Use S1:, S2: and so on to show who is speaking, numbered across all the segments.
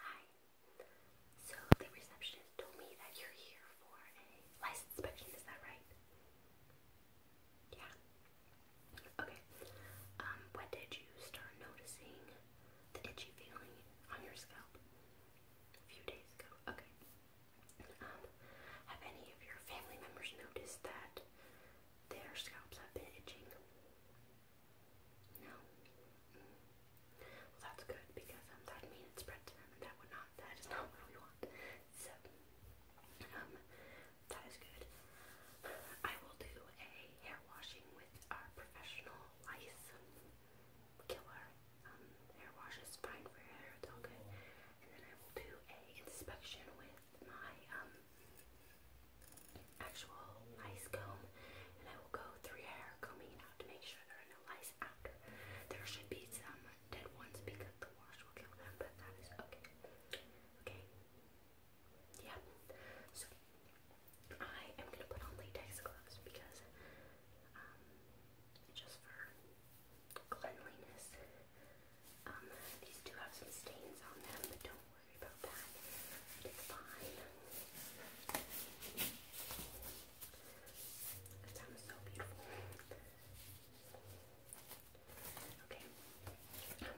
S1: Hi. So the receptionist told me that you're here for a license inspection, is that right? Yeah. Okay. Um, when did you start noticing the itchy feeling on your scalp? A few days ago. Okay. Um, have any of your family members noticed that their scalps have been itching? No. Mm. Well, that's good because um, that would mean it spread to them, and that would not. That is not what we want. So, um, that is good. I will do a hair washing with our professional lice killer. Um, hair wash is fine for your hair; it's all good. And then I will do a inspection with my um actual lice comb and I will go through your hair combing out to make sure there are no lice after. There should be some dead ones because the wash will kill them, but that is okay. Okay? Yeah. So, I am going to put on latex gloves because, um, just for cleanliness, um, these do have some stains on them, but don't worry worry about that. It's fine. That sounds so beautiful. Okay.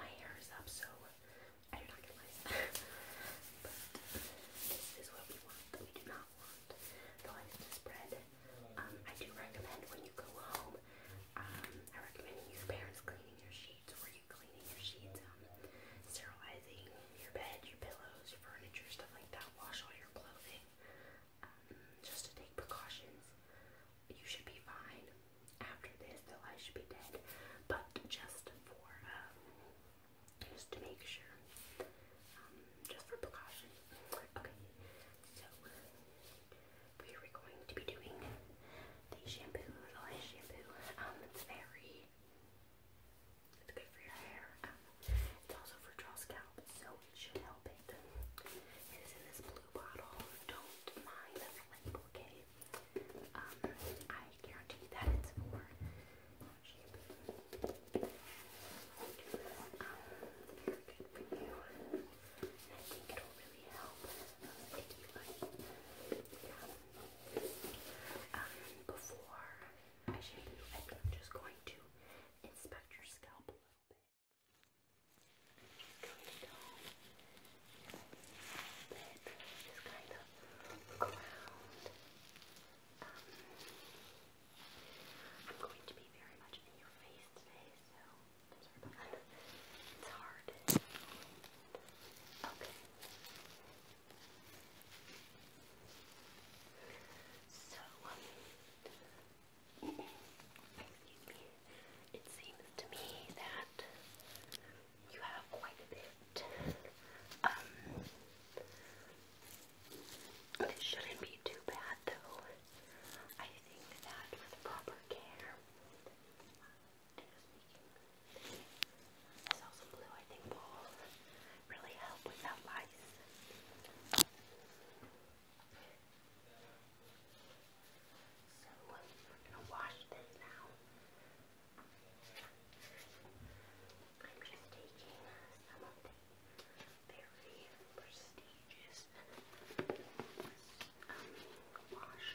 S1: My hair is up, so I do not get But this is what we want. We do not want the length to spread. Um, I do recommend when you go home, um, I recommend your parents cleaning your sheets sheets? Were you cleaning your sheets? Um, sterilizing your bed, your pillows, your furniture, stuff like that. Wash all your clothing. Um, just to take precautions. You should be fine. After this, though, I should be dead. But just for, um, just to make sure. Um, just for precaution. Okay, so we are going to be doing the shampoo, the lash shampoo. Um, it's very tea. It's good for your hair. it's also for dry scalp, so it should help It is in this blue bottle. Don't mind the label, okay? Um, I guarantee that it's for Um, very good for you. I think it'll really help um, before I show I am just going to inspect your scalp a little bit. Just kind of look um, I'm going to be very much in your face today, so It's hard. Okay. So, um, excuse me, it seems to me that you have quite a bit. Um, this shouldn't be too bad though. I think that with proper care, there's also blue, I think, will really help without lice. So we're gonna wash this now. I'm just taking some of the very prestigious um, wash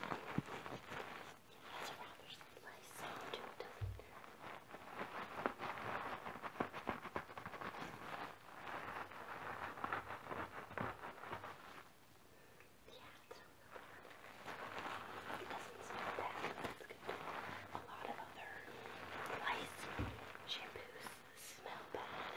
S1: has a rather nice sound to it, doesn't doesn't smell bad, that's good. A lot of other rice shampoos smell bad.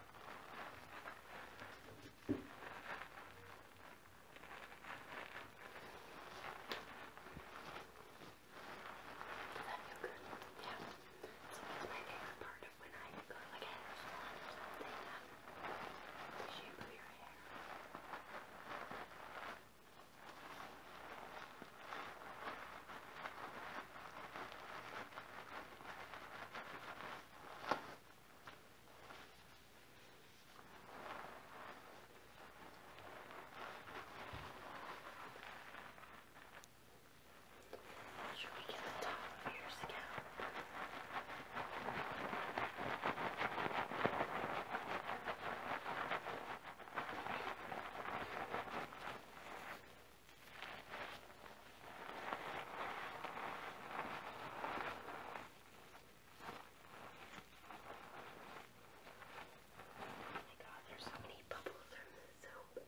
S1: Does that feel good? Yeah. It's always my favorite part of when I go to like a hair salon or something. Um, to shampoo your hair. It's should we get the top of your scalp? Okay. Oh my god, there's so many bubbles from the soap.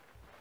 S1: Quite.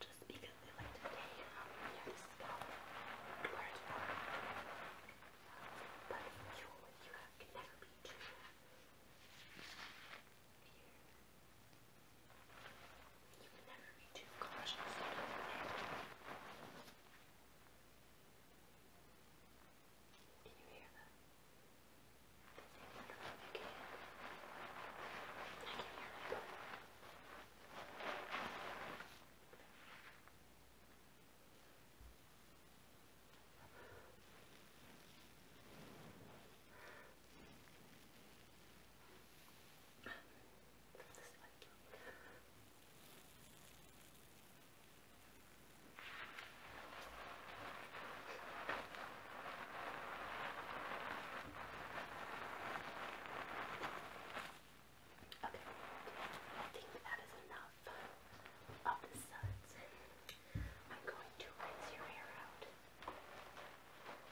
S1: Just because we like um, to take um, near the scalp where it's warm. But you, you have, can never be too here. Two cautions. Can you hear them? I can. I can hear them. Okay, I think that is enough of oh, the suds. I'm going to rinse your hair out.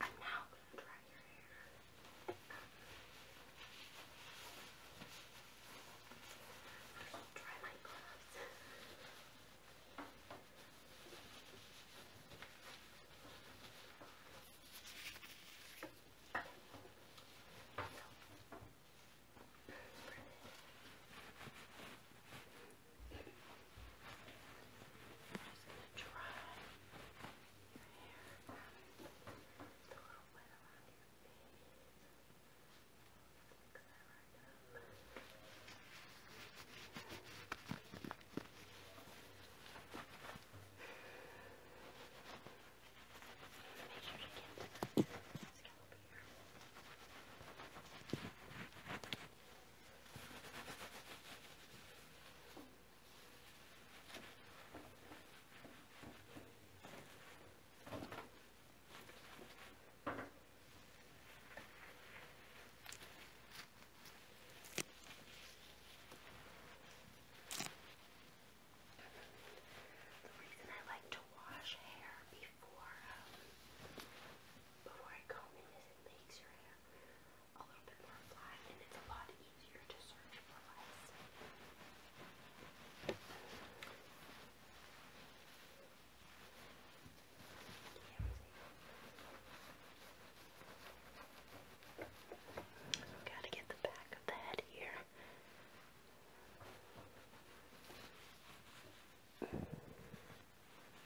S1: I'm now going to dry your hair. I'll dry my gloves. So, going to try your hair and the little wet around your face. Fix that right up. Make sure you get to the scalp here. Just the reason I like to wash hair before um, before I comb it is it makes your hair a it's a lot easier to search for less. gotta get the back of the head here.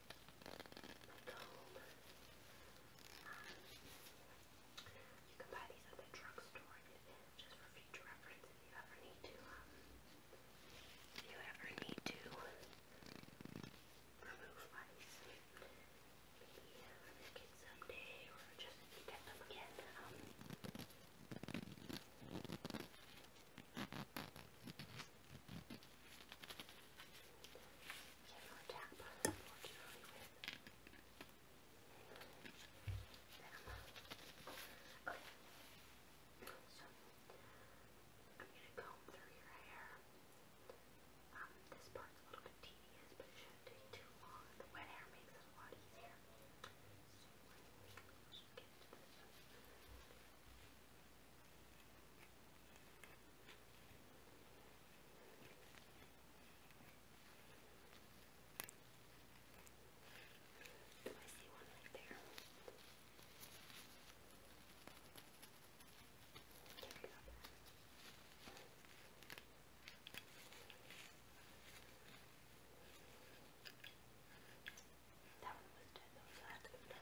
S1: comb. you can buy these at the drugstore, just for future reference if you ever need to, um, um, if you ever need to remove lice, maybe for your kids or just get them again, um, General tap, Okay. So, I'm going to comb through your hair. this part's a little bit tedious, but it shouldn't take too long. The wet hair makes it a lot easier. I see one right there. There we go. That one was dead, though, so that's good.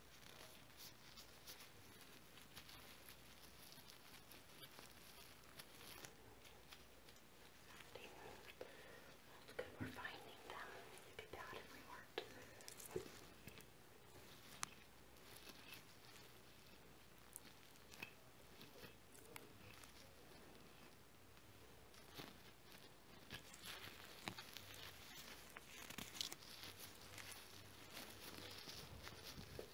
S1: That's good, we're finding them. You'd be proud if we weren't.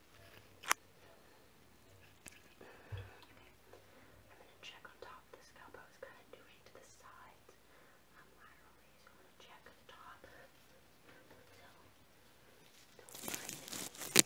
S1: I'm going to check on top of the scalp. I was kind of doing to the sides um, laterally, so I'm going to check on the top. So, don't mind it. Okay,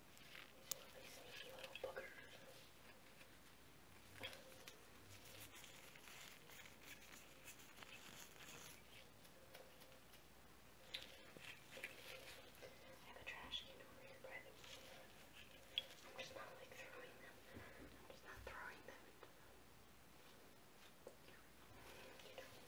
S1: You sneaky little booger. I have a trash can over here by the way. I'm just not like throwing them. I'm just not throwing them into them. You know, at the end.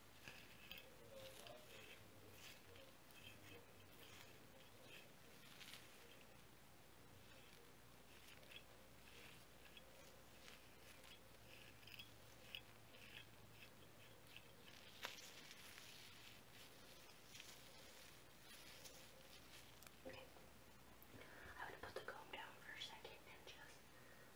S1: Okay. I'm going to put the comb down for a second and just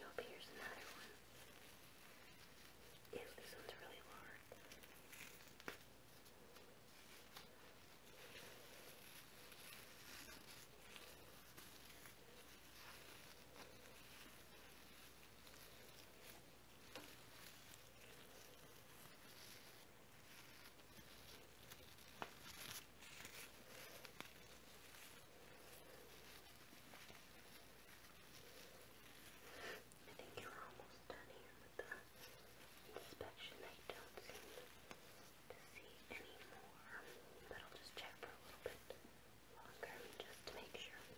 S1: Nope, here's another one. Ew, this one's really hard. I think you're almost done here with the inspection. I don't seem to see any more, but I'll just check for a little bit longer just to make sure.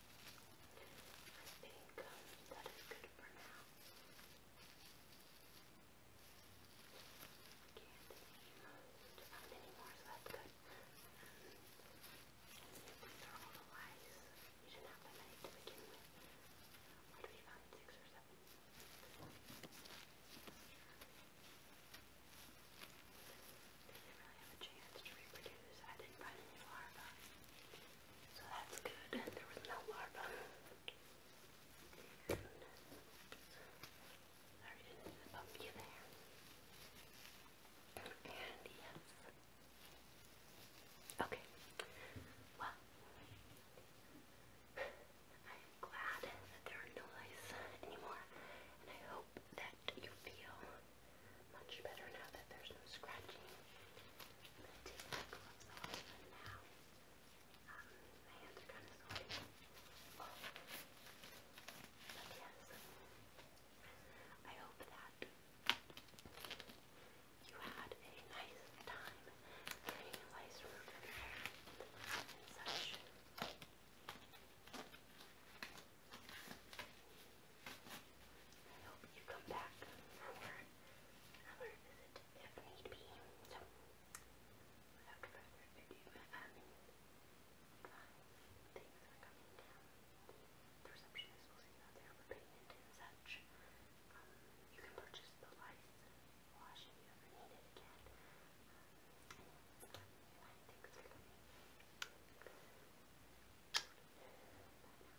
S1: That's pink. That is good for now. I can't find any more, so that's good. Um, these are all the lies. You didn't have that many to begin with. we didn't really have a chance to reproduce. I didn't find any larvae. So that's good. There was no larva. Oops. Sorry did there. And yes. Okay. Well, I'm glad that there are no lice anymore, and I hope that you feel much better now that there's no scratching. I'm going to take my gloves off now. Um, my hands are kind of sore. But yes, I hope that you had a nice time getting a nice roof and such. I hope you come back for another visit if need be. So, without further ado, um, things are coming down. receptionist will see you out there for payment such. Um, you can purchase the lice wash if again. and, uh, thanks for